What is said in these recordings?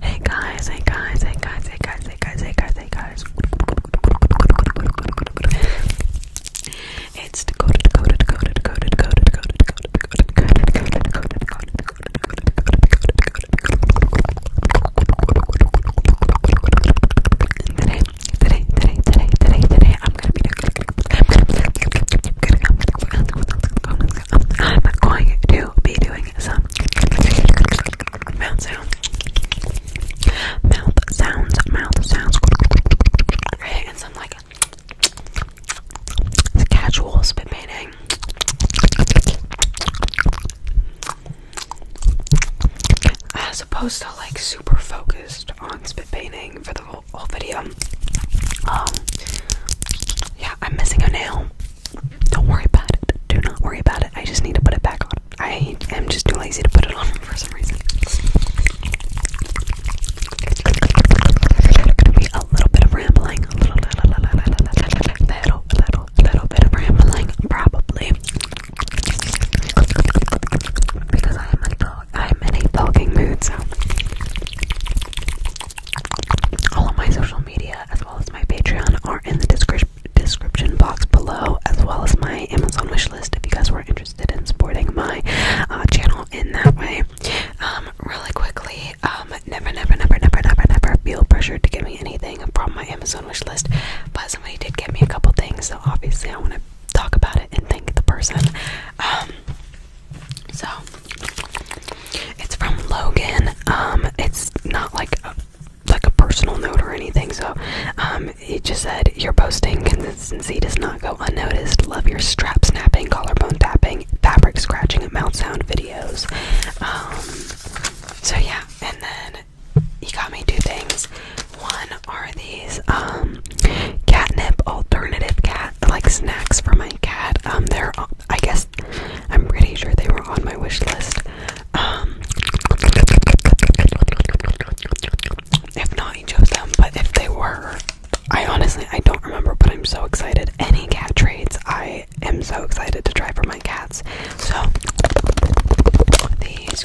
Hey guys, hey guys, hey guys, hey guys, hey guys, hey guys, hey guys. It's Dakota, Dakota, Dakota, Dakota, Dakota, Dakota, Dakota, Dakota, Dakota, Dakota, Dakota, Today, today, today, today, today, today, I'm gonna be I'm going to be doing some mouth sounds. Mouth sounds, mouth sounds. Okay, and some like casual spit painting. As opposed to like super focused on spit painting for the whole, whole video. Um, yeah, I'm missing a nail. Don't worry about it. Do not worry about it. I just need to put it back on. I am just too lazy to put it on for some reason. It's gonna be a little bit of rambling, a little, little, little, little, little bit of rambling, probably. Because I am a dog, I'm in a talking mood, so all my social media as well as my Patreon are in the description box below, as well as my Amazon wishlist if you guys were interested in supporting my uh, channel in that way. Um, really quickly, um, never, never, never, never, never, never feel pressured to give me anything from my Amazon wishlist, but somebody did get me a couple things, so obviously I want to talk about it and thank the person. Um, so it's from Logan. Um, it's not like like a personal note or anything. So um, he just said, Your posting consistency does not go unnoticed. Love your strap snapping, collarbone tapping, fabric scratching, and mouth sound videos. Um, so yeah, and then he got me two things. One are these um, catnip alternative cat like snacks for my cat. Um, they're I guess I'm pretty sure they were on my wish list. Um, if not, I chose them, but if they were, I honestly I don't remember, but I'm so excited. Any cat trades, I am so excited to try for my cats. So these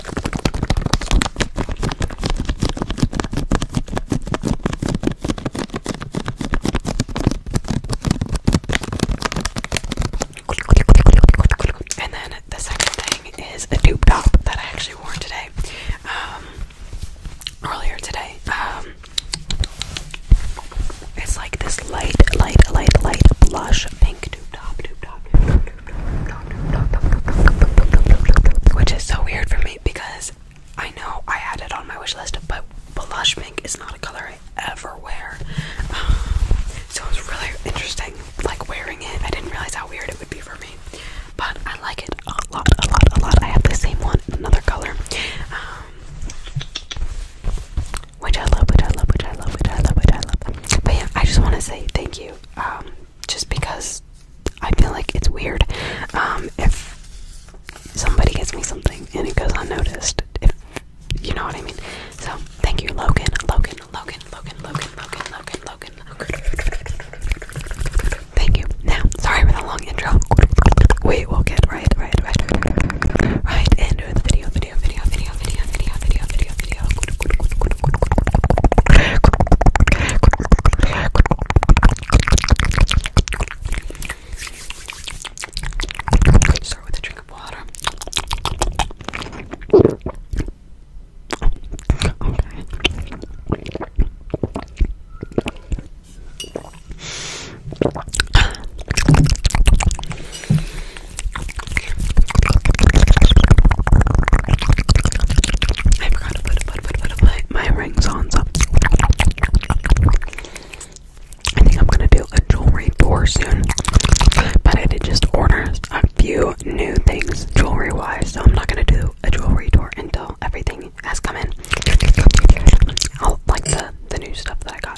and then the second thing is a tube top that I actually wore today. earlier today. it's like this light, light, light, light blush pink tube top, which is so weird for me because I know I had it on my wish list, but blush pink is not a color ever wear. Um, so it was really interesting, like wearing it. I didn't realize how weird it would be for me, but I like it a lot, a lot, a lot. I have the same one in another color, um, which I love, which I love, which I love, which I love, which I love. But yeah, I just want to say thank you, um, just because I feel like it's weird if somebody gives me something and it goes unnoticed you know what I mean? So thank you, Logan, Logan, Logan, Logan, Logan, Logan, Logan, Logan, Logan. Thank you. Now, sorry for the long intro. We will get right, right, right, right, right into the video, video, video, video, video, video, video, video, video. Start with a drink of water. Okay. I forgot to put, put, put, put, my, rings on, so I think I'm gonna do a jewelry tour soon, but I did just order a few new things jewelry wise, so I'm not gonna do a jewelry tour until everything has come in. I'll like the the new stuff that I got.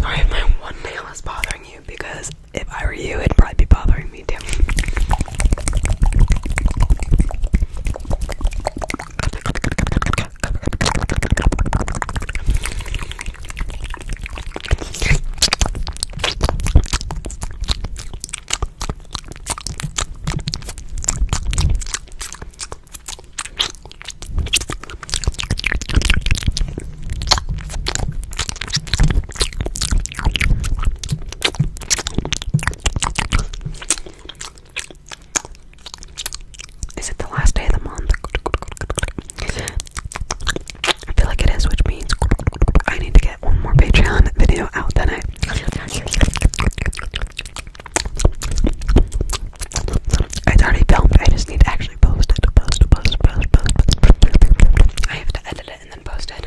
Sorry if my one nail is bothering you because if I were you, it'd probably be bothering me too. Is it the last day of the month? I feel like it is, which means I need to get get one more Patreon video out than I. It's already filmed. I just need to actually post it. Post, post, post, post, post. I have to edit it and then post it.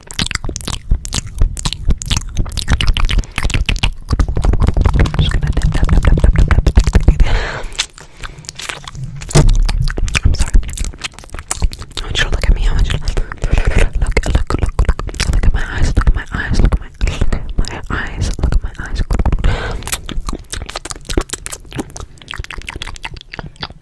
just gonna dip, dip, dip, dip, dip, dip, dip, dip. I'm sorry. I want you to look at me. I want you to look, look, look, look, look, look at my eyes. Look at my eyes. Look at my, look at my eyes. Look at my eyes. Look at my eyes.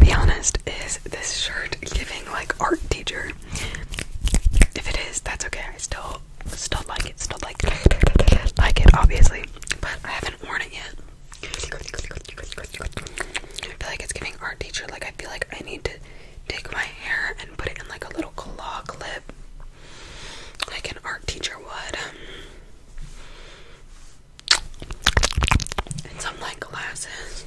Be honest, is this shirt giving like art teacher? If it is, that's okay. I still still like it, still like like it obviously. But I haven't worn it yet. I feel like it's giving art teacher like I feel like I need to take my hair and put it in like a little claw clip like an art teacher would in some like glasses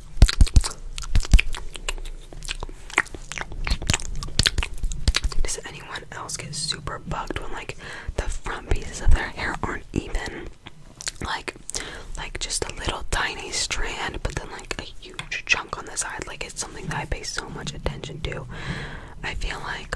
Does anyone else get super bugged when like the front pieces of their hair aren't even? Like like just a little tiny strand, but then like a huge chunk on the side. Like it's something that I pay so much attention to. I feel like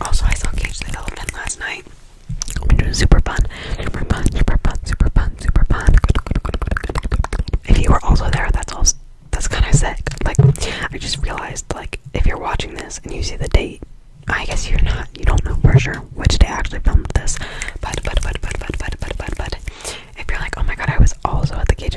Also, I saw Cage the Elephant last night, which was super fun. Super fun, super fun, super fun, super fun. If you were also there, that's all. That's kind of sick. Like, I just realized, like, if you're watching this and you see the date, I guess you're not. You don't know for sure which day I actually filmed this. But, but, but, but, but, but, but, but, but, if you're like, oh my god, I was also at the Cage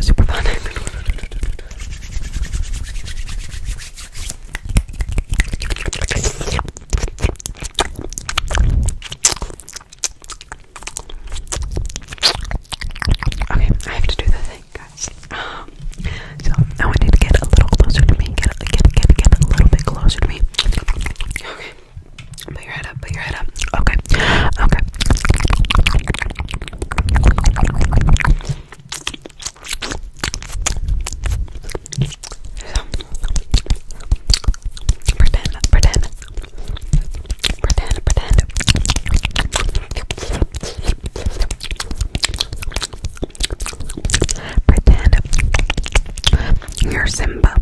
super fun. okay, I have to do the thing, guys. Um, so I want you to get a little closer to me. Get, a, get, get, get a little bit closer to me. Okay. Put your head up, put your head up. Okay. Okay pretend, pretend, pretend, pretend. Pretend you're Simba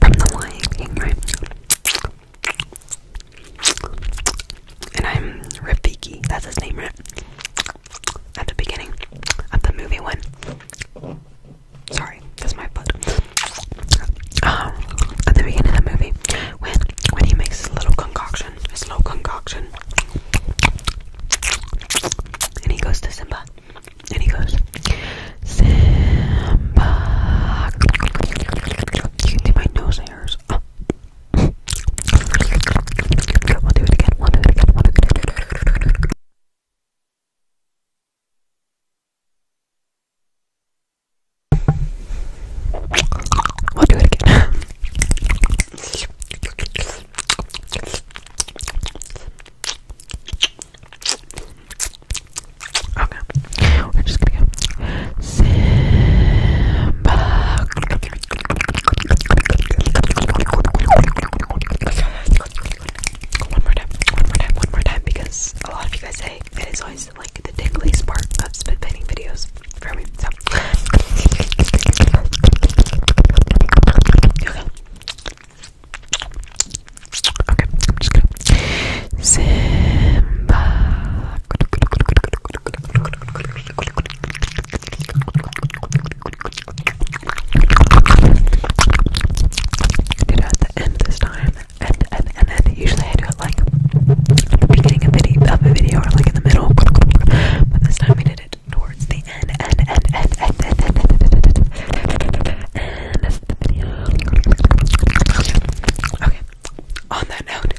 from The Lion King, right? and I'm Rafiki, that's his name, right? At the beginning of the movie when sorry, that's my butt. Um, at the beginning of the movie when when he makes his little concoction, his little concoction and he goes to Simba and he goes Simba You can see my nose hairs. We'll do it again. We'll do it again. We'll do it again. We'll do it again. okay. We're just gonna go Simba. One more time, one more time, one more time, because a lot of you guys say it is always like the tingly part of spit painting videos for me. Okay, I'm just gonna Simba. Did it at the end this time, and and and then usually I do it like the beginning of, a video or like in the middle, but this time we did it towards the end, Okay. On that note,